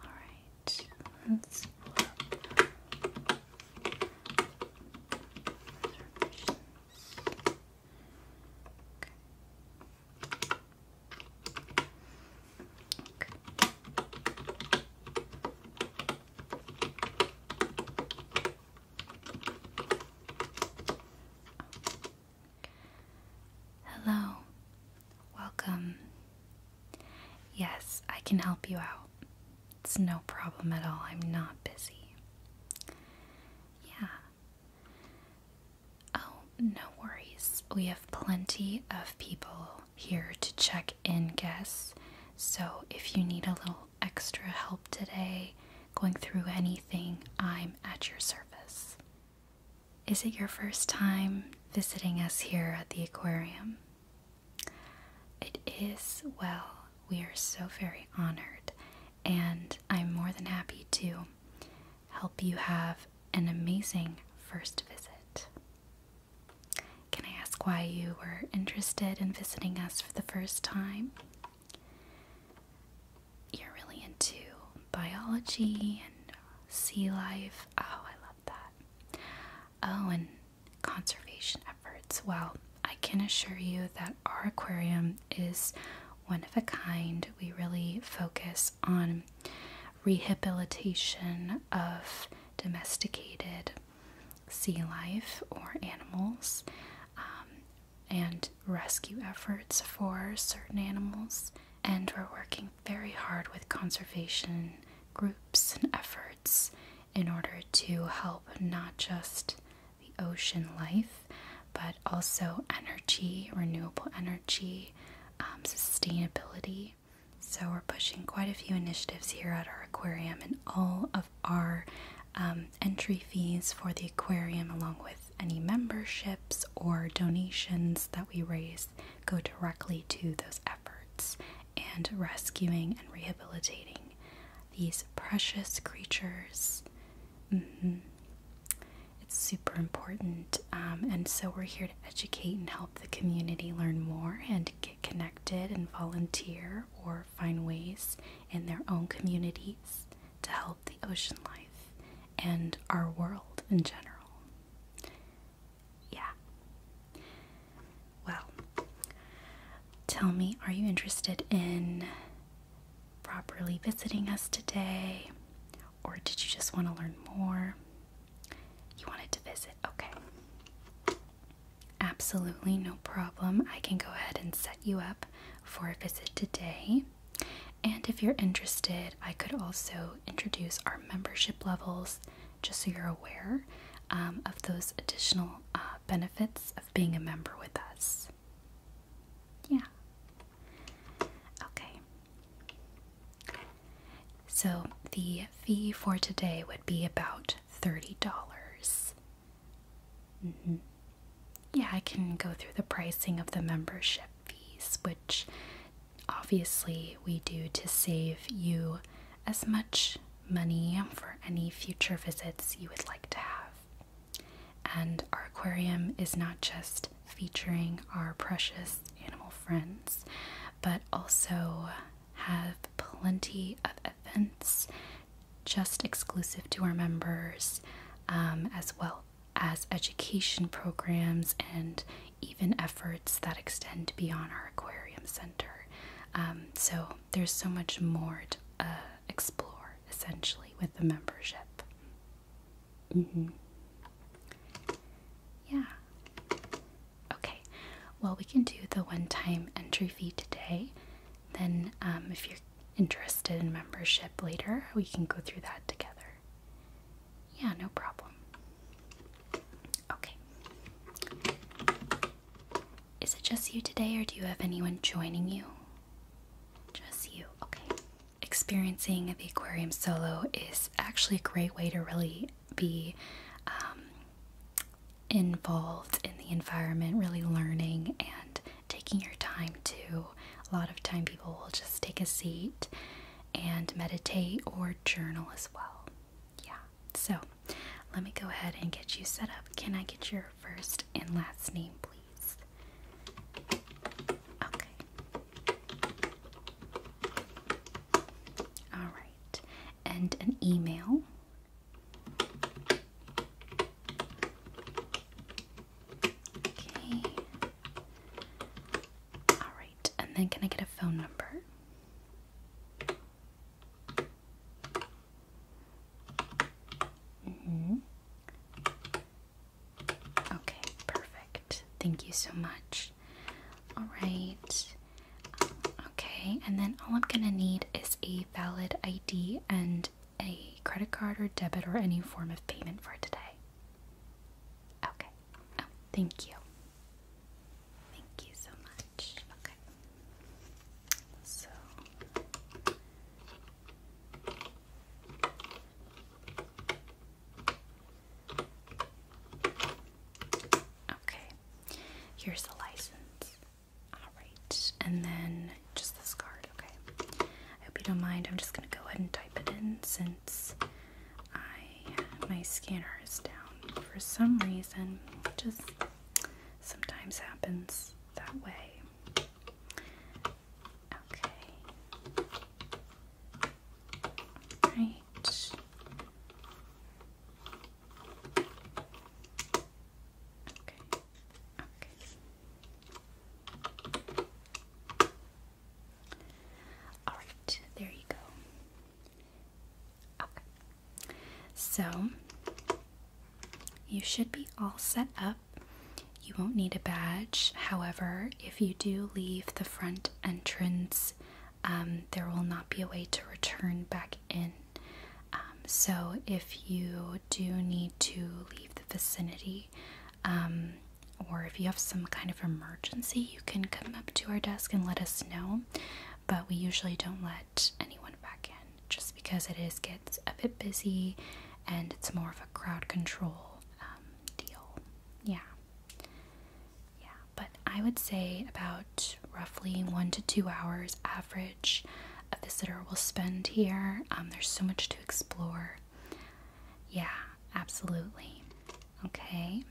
Alright, let's pull Okay. Okay. Hello. Welcome. Yes, I can help you out. It's no problem at all. I'm not busy. Yeah. Oh, no worries. We have plenty of people here to check in guests. So if you need a little extra help today, going through anything, I'm at your service. Is it your first time visiting us here at the aquarium? It is well. We are so very honored, and I'm more than happy to help you have an amazing first visit. Can I ask why you were interested in visiting us for the first time? you're really into biology and sea life. Oh, I love that. Oh, and conservation efforts. Well, I can assure you that our aquarium is one of a kind. We really focus on rehabilitation of domesticated sea life or animals. Um, and rescue efforts for certain animals, and we're working very hard with conservation groups and efforts in order to help not just the ocean life but also energy, renewable energy, um, sustainability. So, we're pushing quite a few initiatives here at our aquarium, and all of our um, entry fees for the aquarium, along with any memberships or donations that we raise go directly to those efforts and rescuing and rehabilitating these precious creatures. Mm-hmm. It's super important, um, and so we're here to educate and help the community learn more and get connected and volunteer or find ways in their own communities to help the ocean life and our world in general. Yeah. Well, tell me, are you interested in properly visiting us today? Or did you just want to learn more? You wanted to visit, okay. Absolutely no problem. I can go ahead and set you up for a visit today. And if you're interested, I could also introduce our membership levels just so you're aware um, of those additional uh, benefits of being a member with us. Yeah. Okay. So the fee for today would be about $30. Mm-hmm. Yeah, I can go through the pricing of the membership fees, which obviously we do to save you as much money for any future visits you would like to have. And our aquarium is not just featuring our precious animal friends, but also have plenty of events just exclusive to our members um, as well as education programs and even efforts that extend beyond our aquarium center. Um, so there's so much more to uh, explore essentially with the membership. Mm-hmm. Yeah. Okay. Well, we can do the one time entry fee today. Then, um, if you're interested in membership later, we can go through that together. Yeah, no problem. Okay. Is it just you today, or do you have anyone joining you? Just you, okay. Experiencing the aquarium solo is actually a great way to really be um, involved in the environment, really learning and taking your time to a lot of time people will just take a seat and meditate or journal as well. Yeah. So, let me go ahead and get you set up. Can I get your first and last name, please? Okay. All right. And an email. Okay. Alright, and then can I get a phone number? Mm-hmm. Okay, perfect. Thank you so much. Alright. Okay, and then all I'm gonna need is a valid ID and a credit card or debit or any form of payment for today. Okay. Oh, thank you. Thank you so much. Okay. So Okay. Here's the license. Alright. And then just this card, okay. I hope you don't mind. I'm just gonna go ahead and type it in since I my scanner is down for some reason. Just sometimes happens that way. Okay. Right. Okay. Okay. Alright, there you go. Okay. So, you should be all set up. You won't need a badge. However, if you do leave the front entrance, um, there will not be a way to return back in. Um, so, if you do need to leave the vicinity, um, or if you have some kind of emergency, you can come up to our desk and let us know. But we usually don't let anyone back in just because it is gets a bit busy and it's more of a crowd control um, deal. Yeah. Yeah, but I would say about roughly one to two hours average a visitor will spend here. Um, there's so much to explore. Yeah, absolutely. Okay.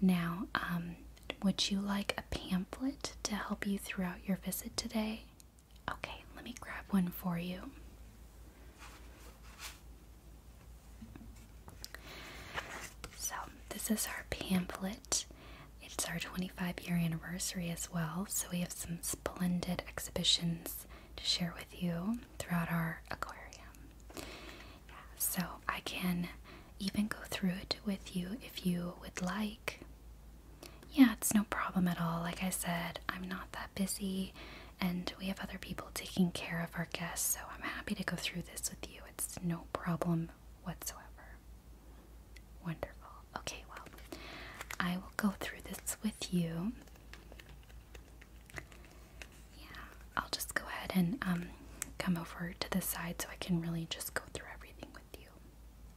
Now, um, would you like a pamphlet to help you throughout your visit today? Okay, let me grab one for you. So, this is our pamphlet. It's our 25 year anniversary as well, so we have some splendid exhibitions to share with you throughout our aquarium. Yeah, so I can even go through it with you if you would like. Yeah, it's no problem at all. Like I said, I'm not that busy and we have other people taking care of our guests, so I'm happy to go through this with you. It's no problem whatsoever. Wonderful. Okay, well, I will go through this with you yeah, I'll just go ahead and um, come over to the side so I can really just go through everything with you.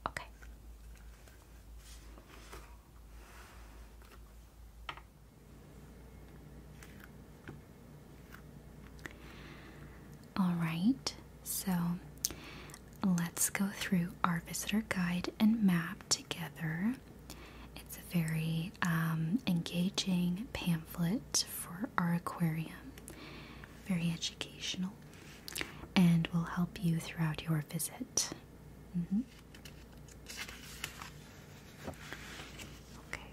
Okay. All right, so let's go through our visitor guide and map together. It's a very um, engaging pamphlet for our aquarium, very educational, and will help you throughout your visit. Mm-hmm. Okay.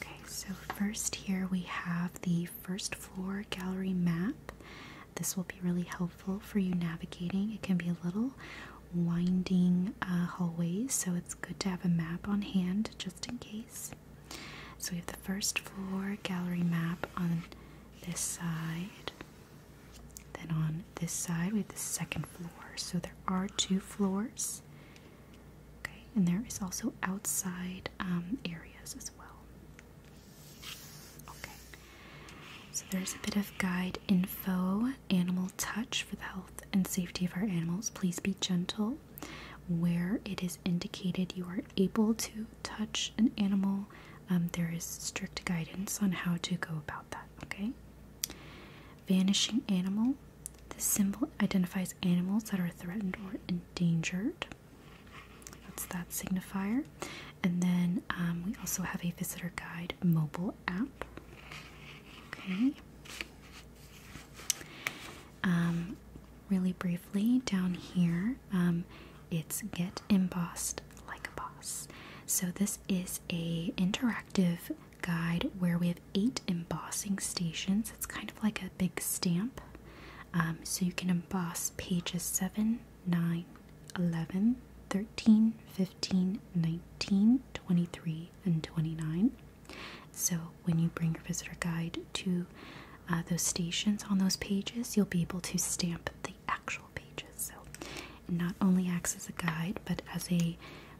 Okay, so first here we have the first floor gallery map. This will be really helpful for you navigating. It can be a little winding uh, hallways, so it's good to have a map on hand just in case. So we have the first floor gallery map on this side. Then on this side, we have the second floor. So there are two floors. Okay, and there is also outside um, areas as well. Okay, so there's a bit of guide info, animal touch for the health and safety of our animals. Please be gentle. Where it is indicated you are able to touch an animal, um, there is strict guidance on how to go about that, okay? Vanishing animal. The symbol identifies animals that are threatened or endangered. That's that signifier. And then um, we also have a visitor guide mobile app. Okay. Um, really briefly, down here, um, it's get embossed like a boss. So this is a interactive guide where we have eight embossing stations. It's kind of like a big stamp. so you can emboss pages 7, 9, 11, 13, 15, 19, 23, and 29. So when you bring your visitor guide to uh, those stations on those pages, you'll be able to stamp the actual pages. So it not only acts as a guide, but as a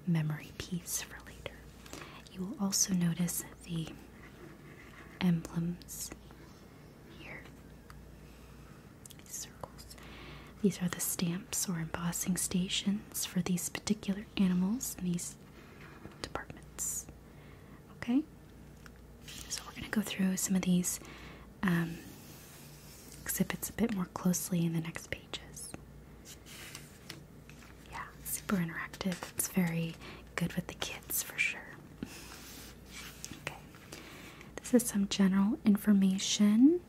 memory piece for later. You will also notice the emblems here circles. These are the stamps or embossing stations for these particular animals in these departments. Okay, so we're going to go through some of these um, exhibits a bit more closely in the next pages. Yeah, super interactive. It's very good with the kids for sure. Okay, this is some general information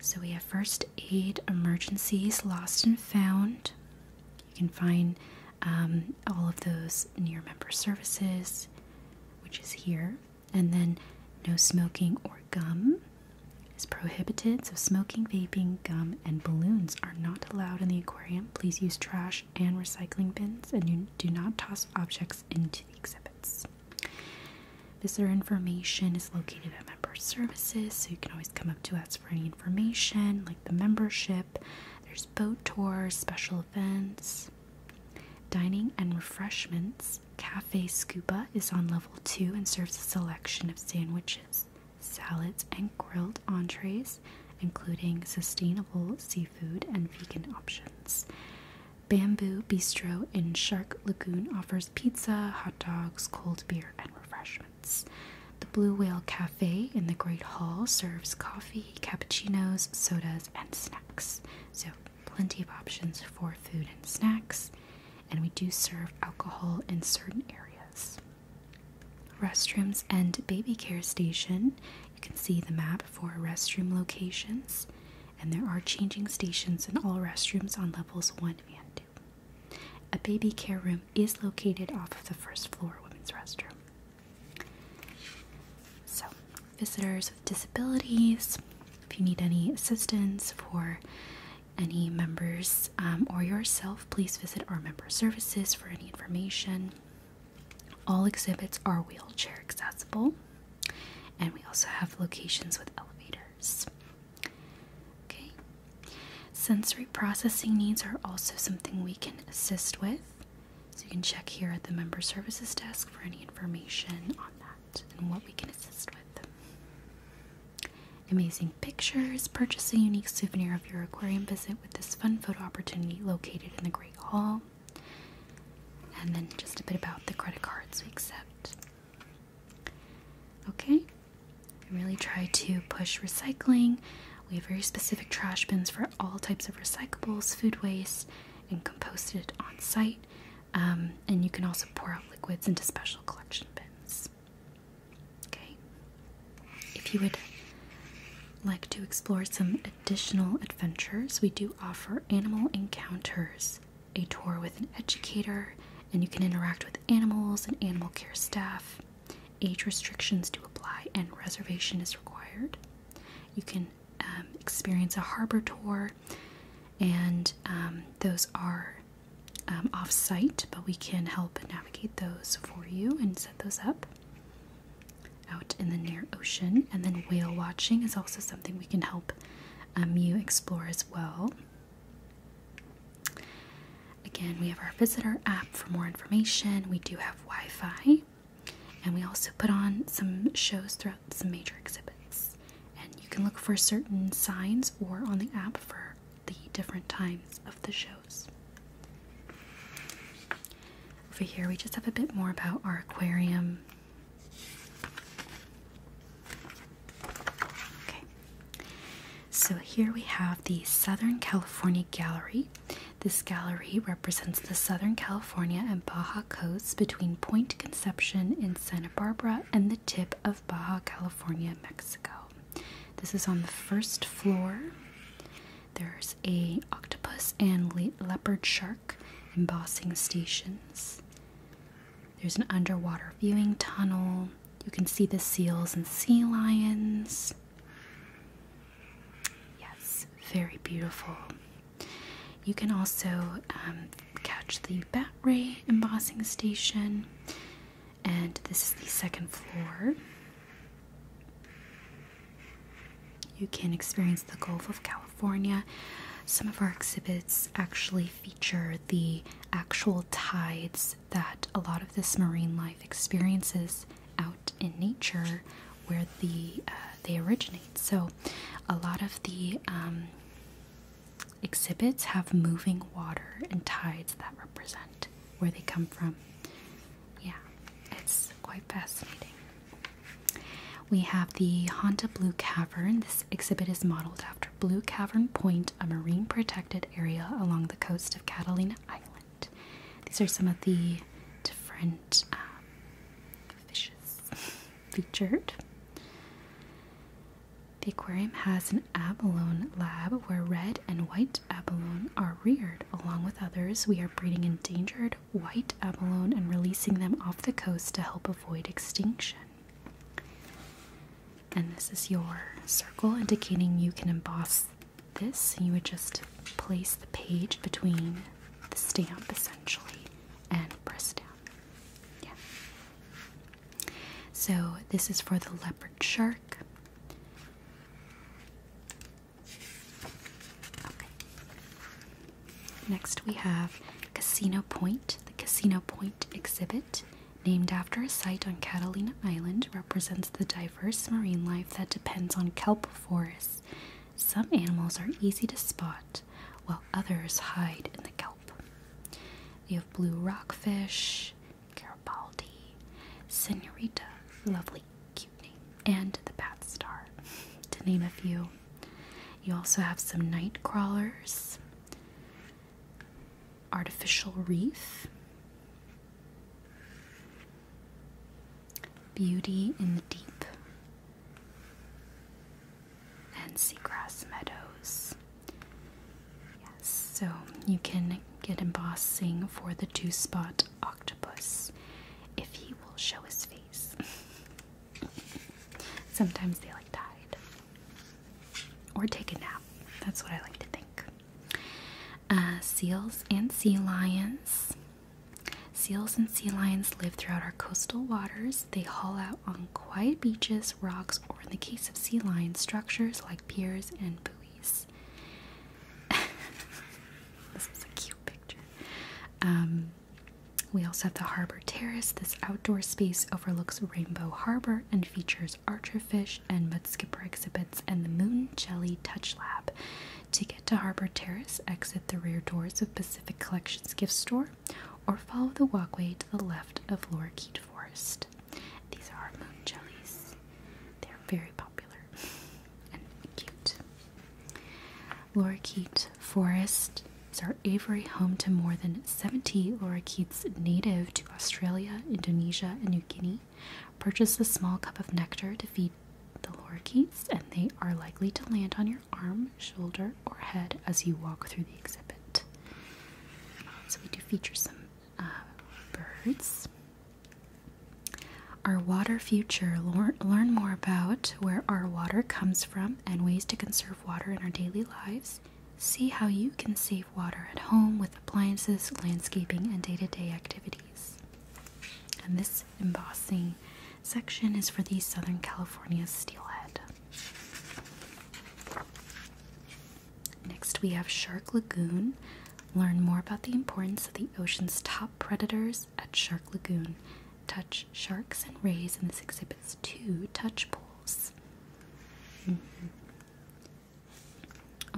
so we have first aid, emergencies, lost and found. You can find um, all of those near member services, which is here. And then no smoking or gum is prohibited. So smoking, vaping, gum, and balloons are not allowed in the aquarium. Please use trash and recycling bins and you do not toss objects into the exhibits. Visitor information is located at member services, so you can always come up to us for any information like the membership. There's boat tours, special events, dining and refreshments. Cafe Scuba is on level 2 and serves a selection of sandwiches, salads, and grilled entrees, including sustainable seafood and vegan options. Bamboo Bistro in Shark Lagoon offers pizza, hot dogs, cold beer, and refreshments. The Blue Whale Cafe in the Great Hall serves coffee, cappuccinos, sodas, and snacks. So, plenty of options for food and snacks, and we do serve alcohol in certain areas. Restrooms and Baby Care Station. You can see the map for restroom locations and there are changing stations and all restrooms on levels 1 and 2. A baby care room is located off of the first floor women's restroom. So, visitors with disabilities, if you need any assistance for any members um, or yourself, please visit our member services for any information. All exhibits are wheelchair accessible, and we also have locations with elevators. Okay. Sensory processing needs are also something we can assist with. So you can check here at the member services desk for any information on that and what we can assist with. Amazing pictures. Purchase a unique souvenir of your aquarium visit with this fun photo opportunity located in the Great Hall. And then just a bit about the credit cards we accept. Okay? we really try to push recycling. We have very specific trash bins for all types of recyclables, food waste, and compost it on site. Um, and you can also pour out liquids into special collection bins. Okay? If you would like to explore some additional adventures, we do offer animal encounters a tour with an educator, and you can interact with animals and animal care staff. Age restrictions do apply, and reservation is required. You can um, experience a harbor tour, and um, those are um, off site, but we can help navigate those for you and set those up out in the near ocean. And then whale watching is also something we can help um, you explore as well. Again, we have our visitor app for more information. We do have Wi Fi, and we also put on some shows throughout some major exhibits. And you can look for certain signs or on the app for the different times of the shows. Over here, we just have a bit more about our aquarium Okay, so here we have the Southern California Gallery. This gallery represents the Southern California and Baja coasts between Point Conception in Santa Barbara and the tip of Baja California, Mexico. This is on the first floor. There's a octopus and leopard shark embossing stations. There's an underwater viewing tunnel. You can see the seals and sea lions. Yes, very beautiful. You can also um, catch the bat ray embossing station, and this is the second floor. You can experience the Gulf of California. Some of our exhibits actually feature the actual tides that a lot of this marine life experiences out in nature where the uh, they originate. So a lot of the um, exhibits have moving water and tides that represent where they come from. Yeah, it's quite fascinating. We have the Honda Blue Cavern. This exhibit is modeled after Blue Cavern Point, a marine protected area along the coast of Catalina Island. These are some of the different um, fishes featured. The aquarium has an abalone lab where red and white abalone are reared. Along with others, we are breeding endangered white abalone and releasing them off the coast to help avoid extinction. And this is your circle indicating you can emboss this. You would just place the page between the stamp essentially and press down. Yeah. So this is for the leopard shark. Next we have Casino Point. The Casino Point exhibit, named after a site on Catalina Island, represents the diverse marine life that depends on kelp forests. Some animals are easy to spot, while others hide in the kelp. You have blue rockfish, Garibaldi, Senorita, lovely cute name, and the Bat Star, to name a few. You also have some night crawlers, artificial reef, beauty in the deep, and seagrass meadows. Yes, so you can get embossing for the two spot octopus if he will show his face. Sometimes they like died or take a nap. That's what I like to think. Uh, seals and sea lions. Seals and sea lions live throughout our coastal waters. They haul out on quiet beaches, rocks, or in the case of sea lions, structures like piers and buoys. this is a cute picture. Um, we also have the Harbor Terrace. This outdoor space overlooks Rainbow Harbor and features archerfish and mudskipper exhibits and the Moon Jelly Touch Lab. To get to Harbor Terrace, exit the rear doors of Pacific Collections Gift Store or follow the walkway to the left of Lorikeet Forest. These are moon jellies. They're very popular and cute. Lorikeet Forest is Avery home to more than 70 lorikeets native to Australia, Indonesia, and New Guinea. Purchase a small cup of nectar to feed the lorikeets, and they are likely to land on your arm, shoulder, or head as you walk through the exhibit. So, we do feature some uh, birds. Our water future. Learn more about where our water comes from and ways to conserve water in our daily lives. See how you can save water at home with appliances, landscaping, and day to day activities. And this embossing section is for the Southern California steelhead. Next, we have Shark Lagoon. Learn more about the importance of the ocean's top predators at Shark Lagoon. Touch sharks and rays in this exhibit's two touch pools.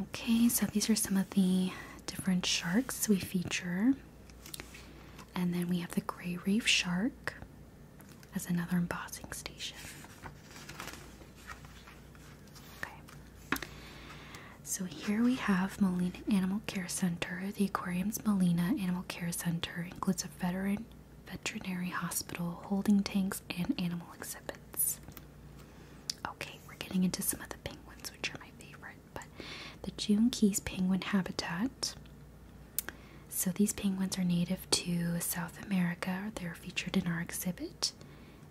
Okay, so these are some of the different sharks we feature. And then we have the gray reef shark as another embossing station. Okay. So here we have Molina Animal Care Center. The aquarium's Molina Animal Care Center includes a veteran veterinary hospital, holding tanks, and animal exhibits. Okay, we're getting into some of the penguins, which are my favorite, but the June Keys penguin habitat. So these penguins are native to South America. They're featured in our exhibit,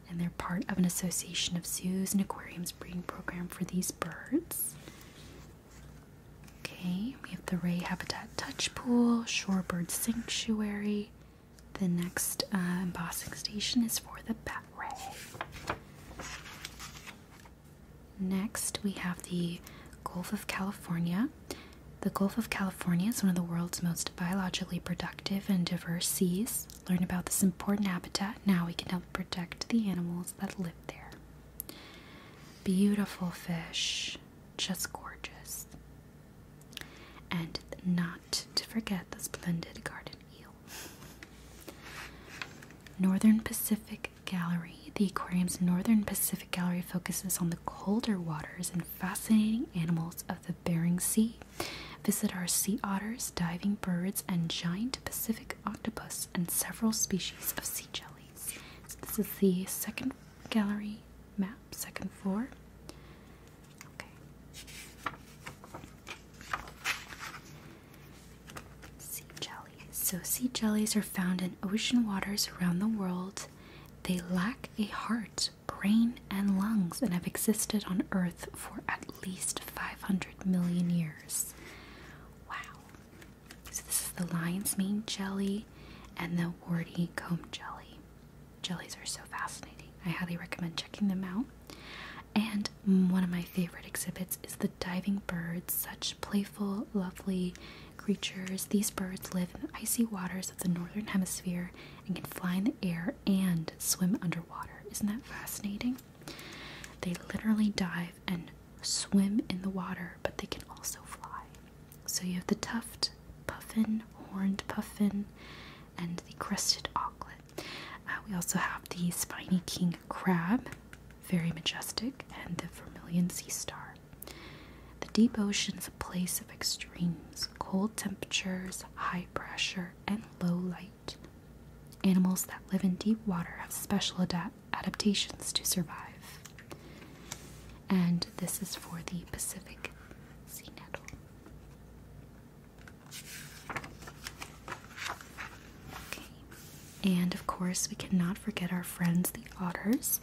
and they're part of an association of zoos and aquariums breeding program for these birds. Okay, we have the Ray Habitat Touch Pool, Shorebird Sanctuary. The next uh, embossing station is for the Bat Ray. Next, we have the Gulf of California. The Gulf of California is one of the world's most biologically productive and diverse seas. Learn about this important habitat now we can help protect the animals that live there. Beautiful fish, just gorgeous and not to forget the splendid garden eel. Northern Pacific Gallery. The aquarium's Northern Pacific Gallery focuses on the colder waters and fascinating animals of the Bering Sea. Visit our sea otters, diving birds, and giant Pacific octopus, and several species of sea jellies. this is the second gallery map, second floor. Okay. Sea jellies. So, sea jellies are found in ocean waters around the world. They lack a heart, brain, and lungs and have existed on Earth for at least 500 million years. Wow. So, this is the lion's mane jelly and the warty comb jelly. Jellies are so fascinating. I highly recommend checking them out. And one of my favorite exhibits is the diving birds, such playful, lovely creatures. These birds live in the icy waters of the northern hemisphere and can fly in the air and swim underwater. Isn't that fascinating? They literally dive and swim in the water, but they can also fly. So you have the tufted puffin, horned puffin, and the crested auklet. Uh, we also have the spiny king crab, very majestic, and the vermilion sea star. The deep ocean is a place of extremes cold temperatures, high pressure, and low light. Animals that live in deep water have special adaptations to survive. And this is for the Pacific and of course, we cannot forget our friends, the otters.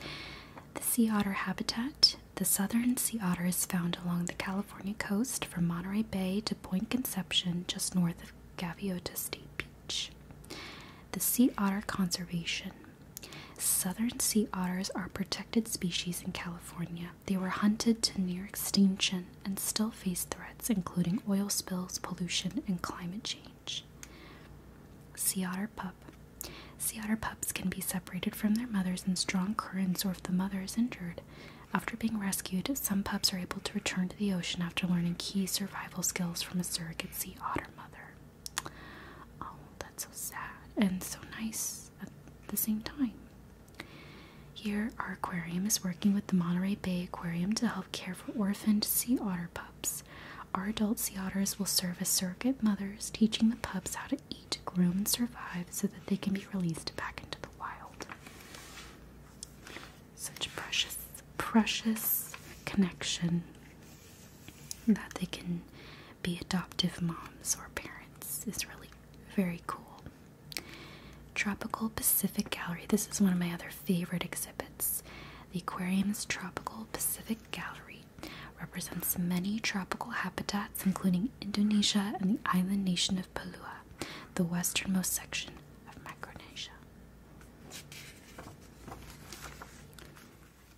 The sea otter habitat. The southern sea otter is found along the California coast from Monterey Bay to Point Conception, just north of Gaviota State Beach. The sea otter conservation. Southern sea otters are protected species in California. They were hunted to near extinction and still face threats, including oil spills, pollution, and climate change. Sea otter pup. Sea otter pups can be separated from their mothers in strong currents or if the mother is injured. After being rescued, some pups are able to return to the ocean after learning key survival skills from a surrogate sea otter mother. Oh, that's so sad and so nice at the same time. Here, our aquarium is working with the Monterey Bay Aquarium to help care for orphaned sea otter pups. Our adult sea otters will serve as surrogate mothers, teaching the pups how to eat, groom, and survive so that they can be released back into the wild. Such precious, precious connection that they can be adoptive moms or parents is really very cool. Tropical Pacific Gallery. This is one of my other favorite exhibits. The aquarium's Tropical Pacific Gallery represents many tropical habitats, including Indonesia and the island nation of Palua, the westernmost section of Micronesia.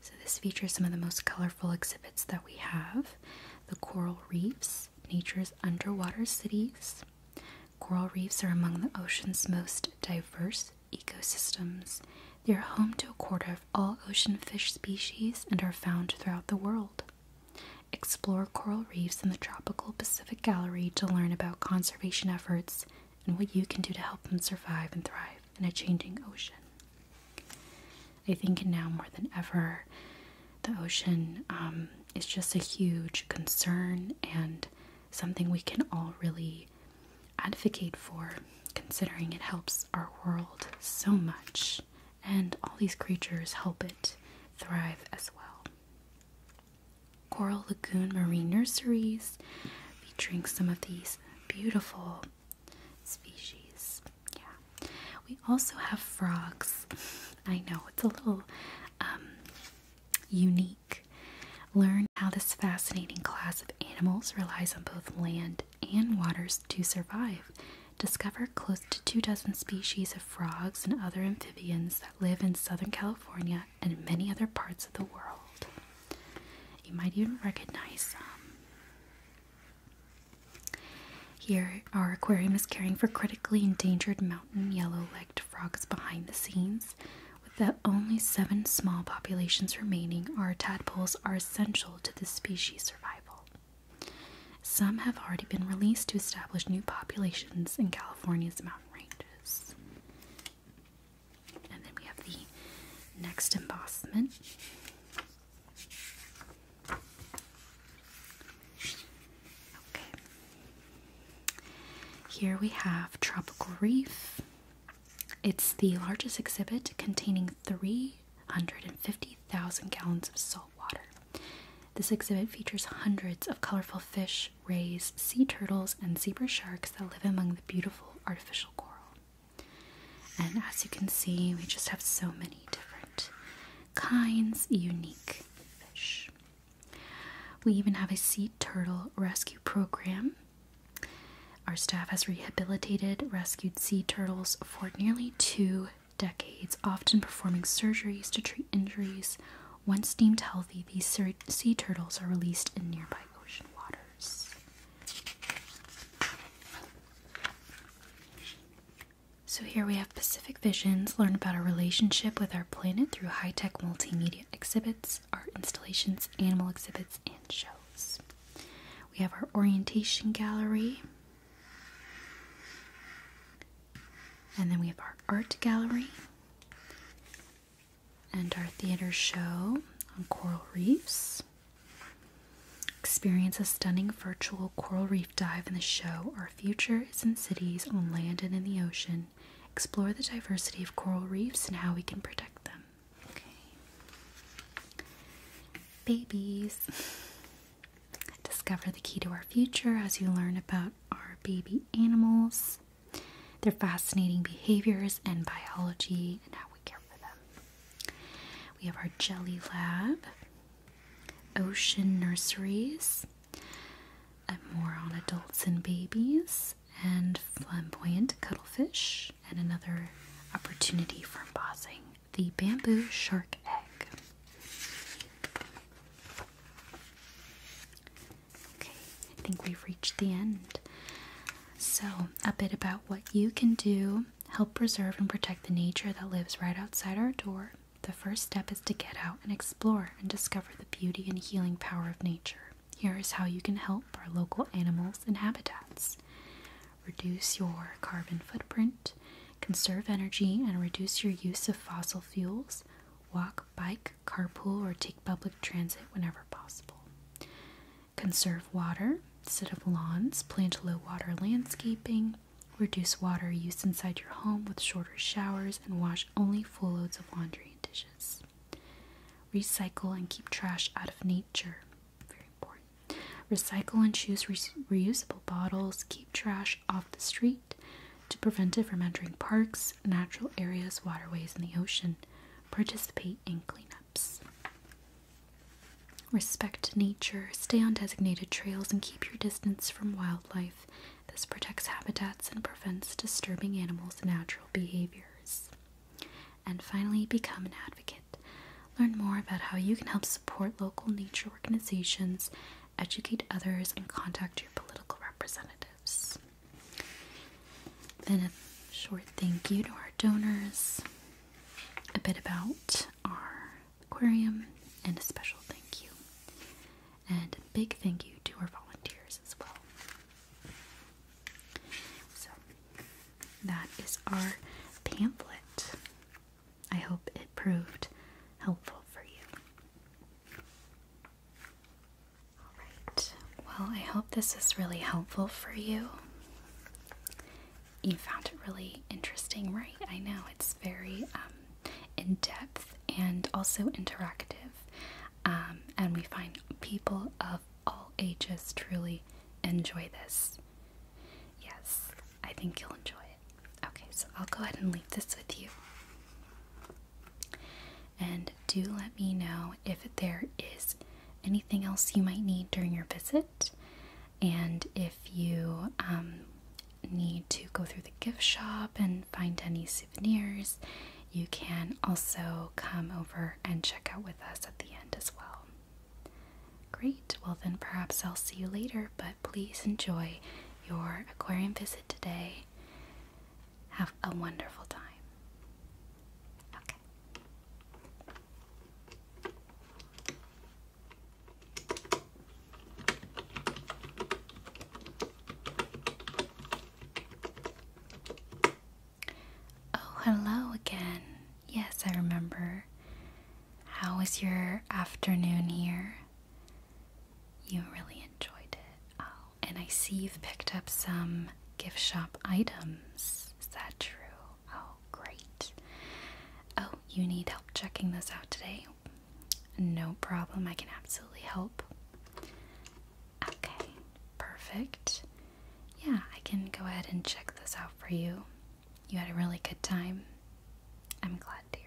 So, this features some of the most colorful exhibits that we have the coral reefs, nature's underwater cities. Coral reefs are among the ocean's most diverse ecosystems. They are home to a quarter of all ocean fish species and are found throughout the world. Explore coral reefs in the Tropical Pacific Gallery to learn about conservation efforts and what you can do to help them survive and thrive in a changing ocean. I think now more than ever, the ocean um, is just a huge concern and something we can all really advocate for, considering it helps our world so much, and all these creatures help it thrive as well. Coral Lagoon Marine Nurseries featuring some of these beautiful species. Yeah. We also have frogs. I know it's a little um, unique. Learn how this fascinating class of animals relies on both land and waters to survive. Discover close to two dozen species of frogs and other amphibians that live in Southern California and many other parts of the world. You might even recognize some. Here, our aquarium is caring for critically endangered mountain yellow-legged frogs behind the scenes. With only seven small populations remaining, our tadpoles are essential to the species' survival. Some have already been released to establish new populations in California's mountain ranges. And then we have the next embossment. Here we have Tropical Reef. It's the largest exhibit containing 350,000 gallons of salt water. This exhibit features hundreds of colorful fish, rays, sea turtles, and zebra sharks that live among the beautiful artificial coral. And as you can see, we just have so many different kinds, unique fish. We even have a sea turtle rescue program. Our staff has rehabilitated rescued sea turtles for nearly two decades, often performing surgeries to treat injuries. Once deemed healthy, these sea turtles are released in nearby ocean waters. So, here we have Pacific Visions learn about our relationship with our planet through high tech multimedia exhibits, art installations, animal exhibits, and shows. We have our orientation gallery, and then we have our art gallery, and our theater show on coral reefs. Experience a stunning virtual coral reef dive in the show. Our future is in cities, on land, and in the ocean. Explore the diversity of coral reefs and how we can protect them. Babies. Discover the key to our future as you learn about our baby animals, their fascinating behaviors, and biology, and how we care for them. We have our Jelly Lab, Ocean Nurseries, more on adults and babies, and Flamboyant Cuttlefish, and another opportunity for embossing the Bamboo Shark Egg. Okay, I think we've reached the end. So, a bit about what you can do help preserve and protect the nature that lives right outside our door, the first step is to get out and explore and discover the beauty and healing power of nature. Here is how you can help our local animals and habitats. Reduce your carbon footprint, conserve energy, and reduce your use of fossil fuels. Walk, bike, carpool, or take public transit whenever possible. Conserve water, instead of lawns, plant low water landscaping, reduce water use inside your home with shorter showers, and wash only full loads of laundry and dishes. Recycle and keep trash out of nature. Very important. Recycle and choose reusable bottles. Keep trash off the street to prevent it from entering parks, natural areas, waterways, and the ocean. Participate in cleanups. Respect nature, stay on designated trails, and keep your distance from wildlife. This protects habitats and prevents disturbing animals' natural behaviors. And finally, become an advocate. Learn more about how you can help support local nature organizations, educate others, and contact your political representatives. Then a short thank you to our donors, a bit about our aquarium, and a special thank you. And a big thank you to our volunteers as well. So, that is our pamphlet. I hope it proved helpful for you. Alright, well, I hope this is really helpful for you you found it really interesting, right? I know it's very um, in depth and also interactive. Um, and we find people of all ages truly enjoy this. Yes, I think you'll enjoy it. Okay, so I'll go ahead and leave this with you. And do let me know if there is anything else you might need during your visit. And if you um, need to go through the gift shop and find any souvenirs, you can also come over and check out with us at the end as well. Great, well, then perhaps I'll see you later, but please enjoy your aquarium visit today. Have a wonderful time. Okay. Oh, hello again. Yes, I remember. How was your afternoon here? You really enjoyed it. Oh, and I see you've picked up some gift shop items. Is that true? Oh, great. Oh, you need help checking this out today? No problem, I can absolutely help. Okay, perfect. Yeah, I can go ahead and check this out for you. You had a really good time. I'm glad to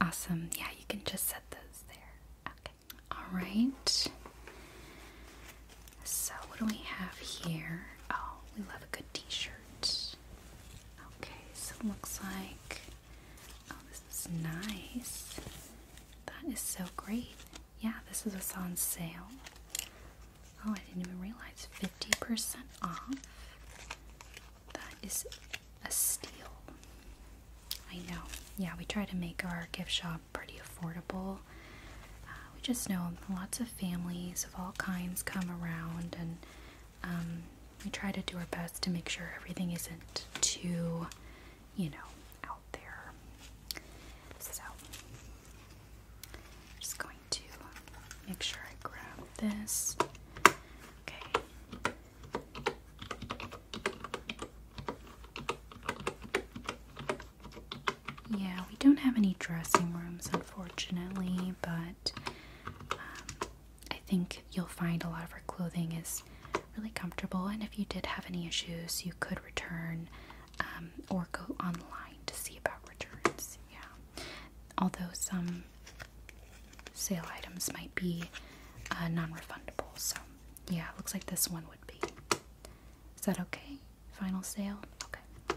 Awesome. Yeah, you can just set those there. Okay. All right. So, what do we have here? Oh, we love a good t shirt. Okay, so looks like oh this is nice. That is so great. Yeah, this is what's on sale. Oh, I didn't even realize 50% off. That is a steal. I know. Yeah, we try to make our gift shop pretty affordable. Uh, we just know lots of families of all kinds come around and um, we try to do our best to make sure everything isn't too, you know, out there. So, I'm just going to make sure I grab this. Okay. Yeah, we don't have any dressing rooms, unfortunately, but um, I think you'll find a lot of her clothing is really comfortable, and if you did have any issues, you could return um, or go online to see about returns. Yeah, although some sale items might be uh, non-refundable. So yeah, looks like this one would be. Is that okay? Final sale? Okay.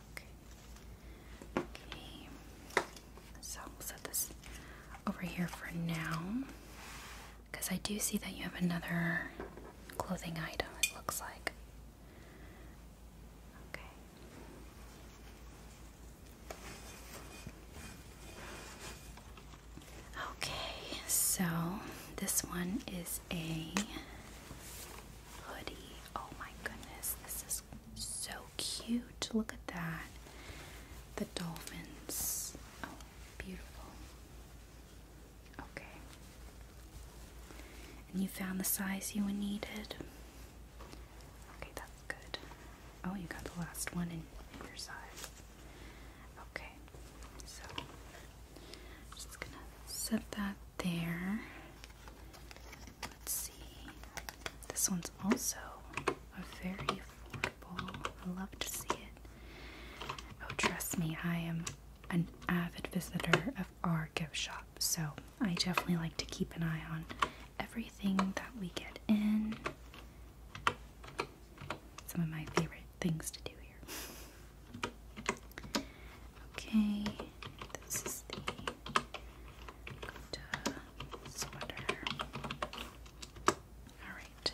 Okay. Okay. So we'll set this over here for now. Because I do see that you have another clothing item, it looks like. Okay. Okay, so this one is a hoodie. Oh my goodness, this is so cute. Look at that. The dolphins. Oh, beautiful. Okay. And you found the size you needed? Okay, that's good. Oh, you got the last one in, your size. Okay, so just gonna set that there. Let's see. This one's also a very affordable. I love to see it. Oh, trust me, I am an avid visitor of our gift shop, so I definitely like to keep an eye on everything that we get in. Some of my favorite things to do here. Okay, this is the Alright.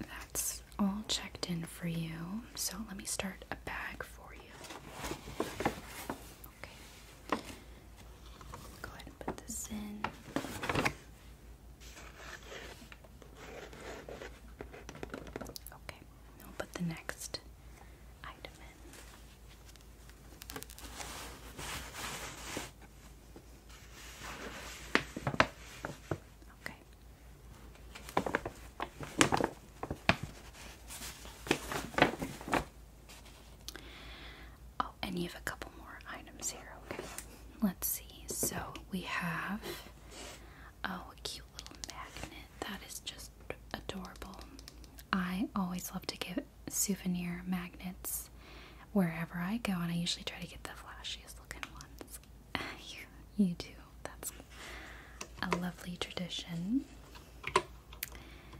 That's all checked in for you. So let me start a bag for you. Okay. Go ahead and put this in. Okay. I'll put the next item in. Okay. Oh, and you have a couple more items here. Okay. Let's see. So we have oh, a cute little magnet. That is just adorable. I always love to give souvenir magnets wherever I go, and I usually try to get the flashiest looking ones. you, you do. That's a lovely tradition.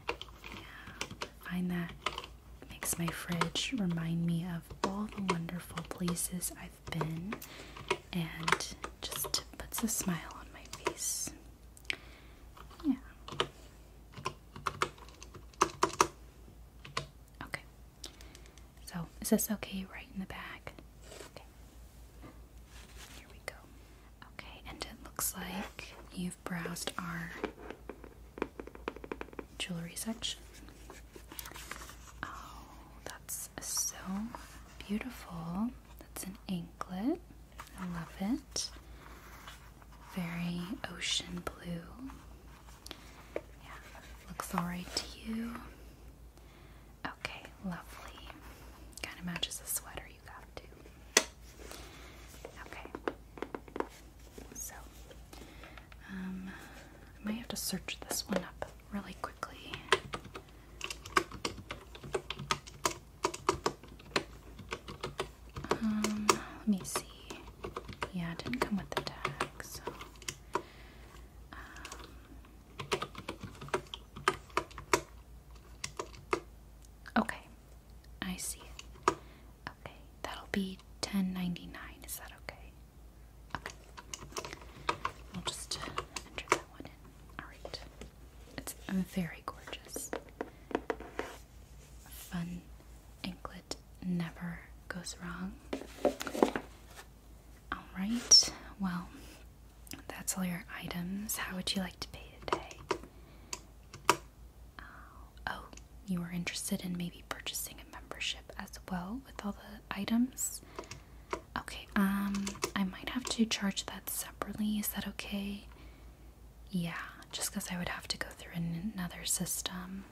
Yeah, find that makes my fridge remind me of all the wonderful places I've been and just puts a smile on my face. Yeah. Okay. So, is this okay right in the back? Okay. Here we go. Okay, and it looks like you've browsed our jewelry section. Oh, that's so beautiful. That's an anklet. I love it. Very ocean blue. Yeah, looks alright to you. Okay, lovely. Kind of matches the sweater you got too. Okay, so um, I might have to search this one up really quickly. Um, let me see. Yeah, it didn't come with the tag, um, okay, I see Okay, that'll be ten ninety nine. Is that okay? Okay, we'll just enter that one in. All right. It's very gorgeous. fun anklet never goes wrong. Alright, well, that's all your items. How would you like to pay today? Uh, oh, you are interested in maybe purchasing a membership as well with all the items? Okay, um, I might have to charge that separately. Is that okay? Yeah, just because I would have to go through another system.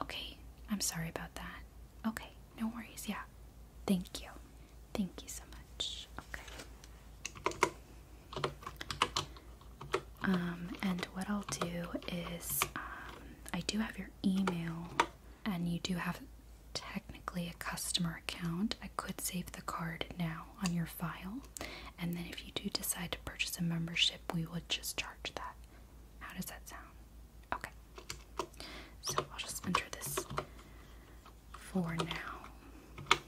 Okay, I'm sorry about that. Okay, no worries. Yeah, thank you. Thank you so much. Okay. Um, and what I'll do is, um, I do have your email, and you do have technically a customer account. I could save the card now on your file, and then if you do decide to purchase a membership, we would just charge that. How does that sound? Okay, so I'll just enter this for now,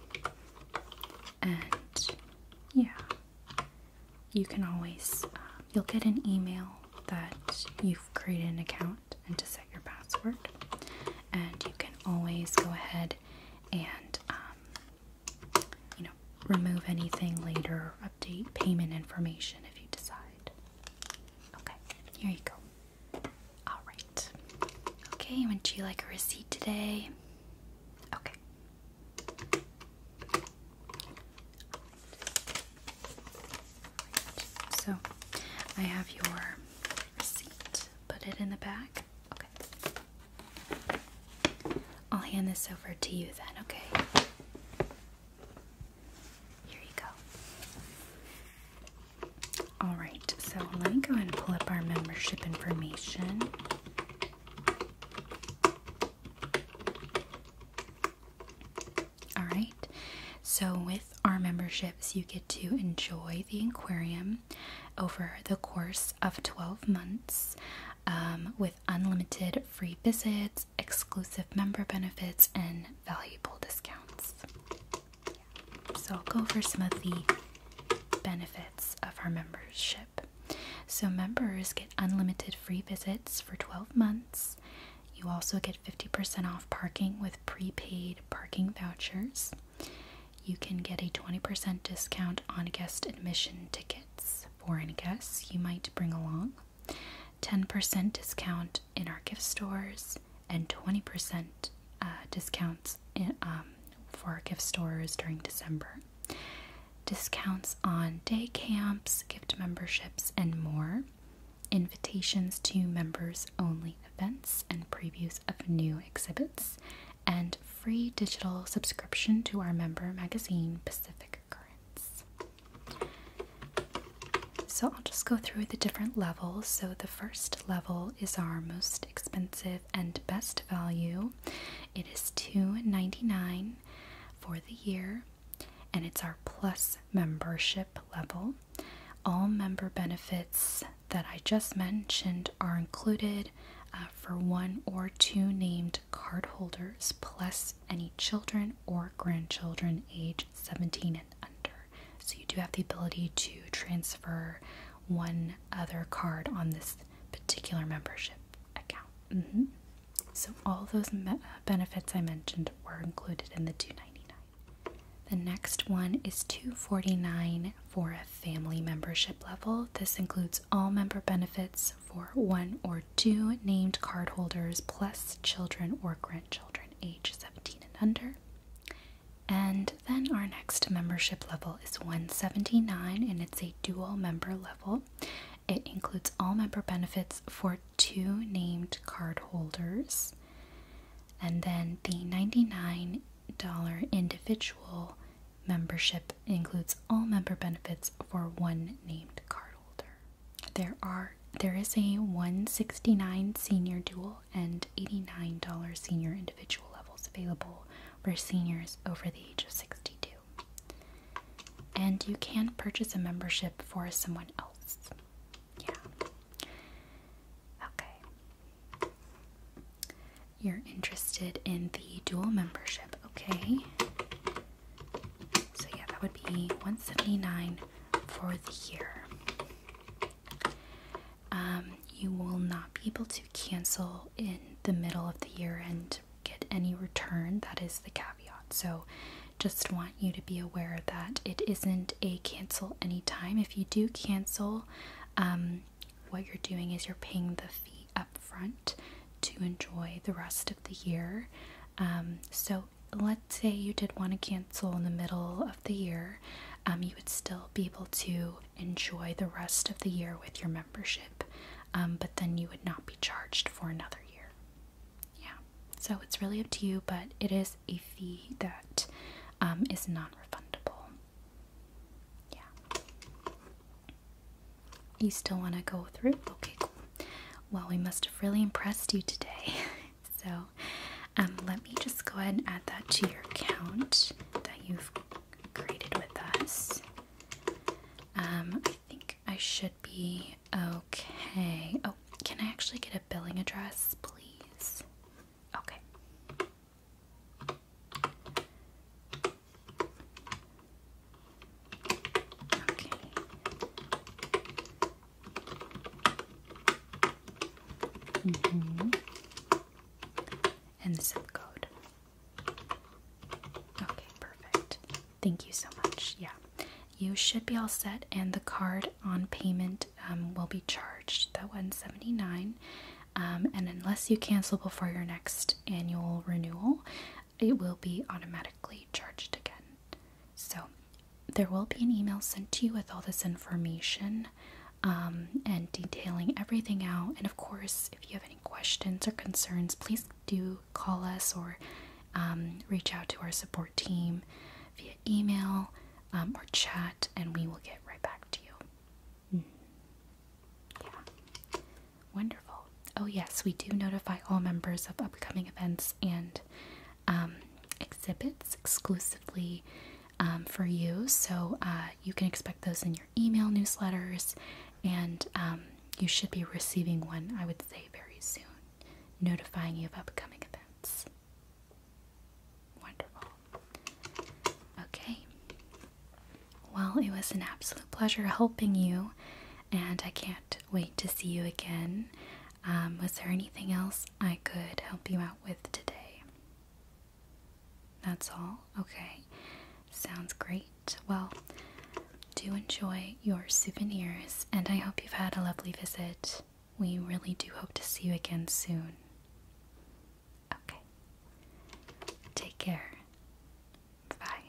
and yeah, you can always, um, you'll get an email that you've created an account and to your password. And you can always go ahead and, um, you know, remove anything later, update payment information if you decide. Okay, here you go. Alright. Okay, would you like a receipt today? Okay. So I have your receipt. Put it in the back. Okay. I'll hand this over to you then, okay? Here you go. Alright, so let me go ahead and pull up our membership information. Alright, so with our memberships, you get to enjoy the aquarium over the course of 12 months um, with unlimited free visits, exclusive member benefits, and valuable discounts. So, I'll go over some of the benefits of our membership. So, members get unlimited free visits for 12 months. You also get 50% off parking with prepaid parking vouchers. You can get a 20% discount on guest admission tickets. Foreign guests you might bring along, 10% discount in our gift stores, and 20% uh, discounts in, um, for our gift stores during December. Discounts on day camps, gift memberships, and more. Invitations to members only events and previews of new exhibits, and free digital subscription to our member magazine, Pacific Currents. So I'll just go through the different levels. So the first level is our most expensive and best value. It is $2.99 for the year, and it's our plus membership level. All member benefits that I just mentioned are included uh, for one or two named cardholders, plus any children or grandchildren age 17 and under. So you do have the ability to transfer one other card on this particular membership account. Mm-hmm. So all those uh, benefits I mentioned were included in the $2.99. The next one is $249 for a family membership level. This includes all member benefits for one or two named cardholders plus children or grandchildren age 17 and under. And then our next membership level is 179 and it's a dual member level. It includes all member benefits for two named cardholders. And then the 99 individual membership includes all member benefits for one named cardholder. There are there is a 169 senior dual and $89 senior individual levels available for seniors over the age of 62. And you can purchase a membership for someone else. Yeah. Okay. You're interested in the dual membership, okay? So yeah, that would be 179 for the year. Um, you will not be able to cancel in the middle of the year and get any return. That is the caveat. So just want you to be aware that it isn't a cancel anytime. If you do cancel, um, what you're doing is you're paying the fee up front to enjoy the rest of the year. Um, so let's say you did want to cancel in the middle of the year, um, you would still be able to enjoy the rest of the year with your membership, but then you would not be charged for another year. Yeah, so it's really up to you, but it is a fee that um, is non-refundable. Yeah. You still want to go through? Okay, Well, we must have really impressed you today. so um, let me just go ahead and add that to your account that you've created with us. Um, I think I should be okay. Oh, can I actually get a billing address, please? Okay. Okay. Mm-hmm. And the zip code. Okay, perfect. Thank you so much. Yeah. You should be all set, and the card on payment um, will be charged that 179 um, and unless you cancel before your next annual renewal it will be automatically charged again so there will be an email sent to you with all this information um, and detailing everything out and of course if you have any questions or concerns please do call us or reach out to our support team via email or chat and we will get right back to you yeah. Wonderful. Oh, yes, we do notify all members of upcoming events and um, exhibits exclusively um, for you. So uh, you can expect those in your email newsletters, and um, you should be receiving one, I would say, very soon, notifying you of upcoming events. Wonderful. Okay. Well, it was an absolute pleasure helping you, and I can't wait to see you again. Um, was there anything else I could help you out with today? That's all? Okay. Sounds great. Well, do enjoy your souvenirs, and I hope you've had a lovely visit. We really do hope to see you again soon. Okay. Take care. Bye.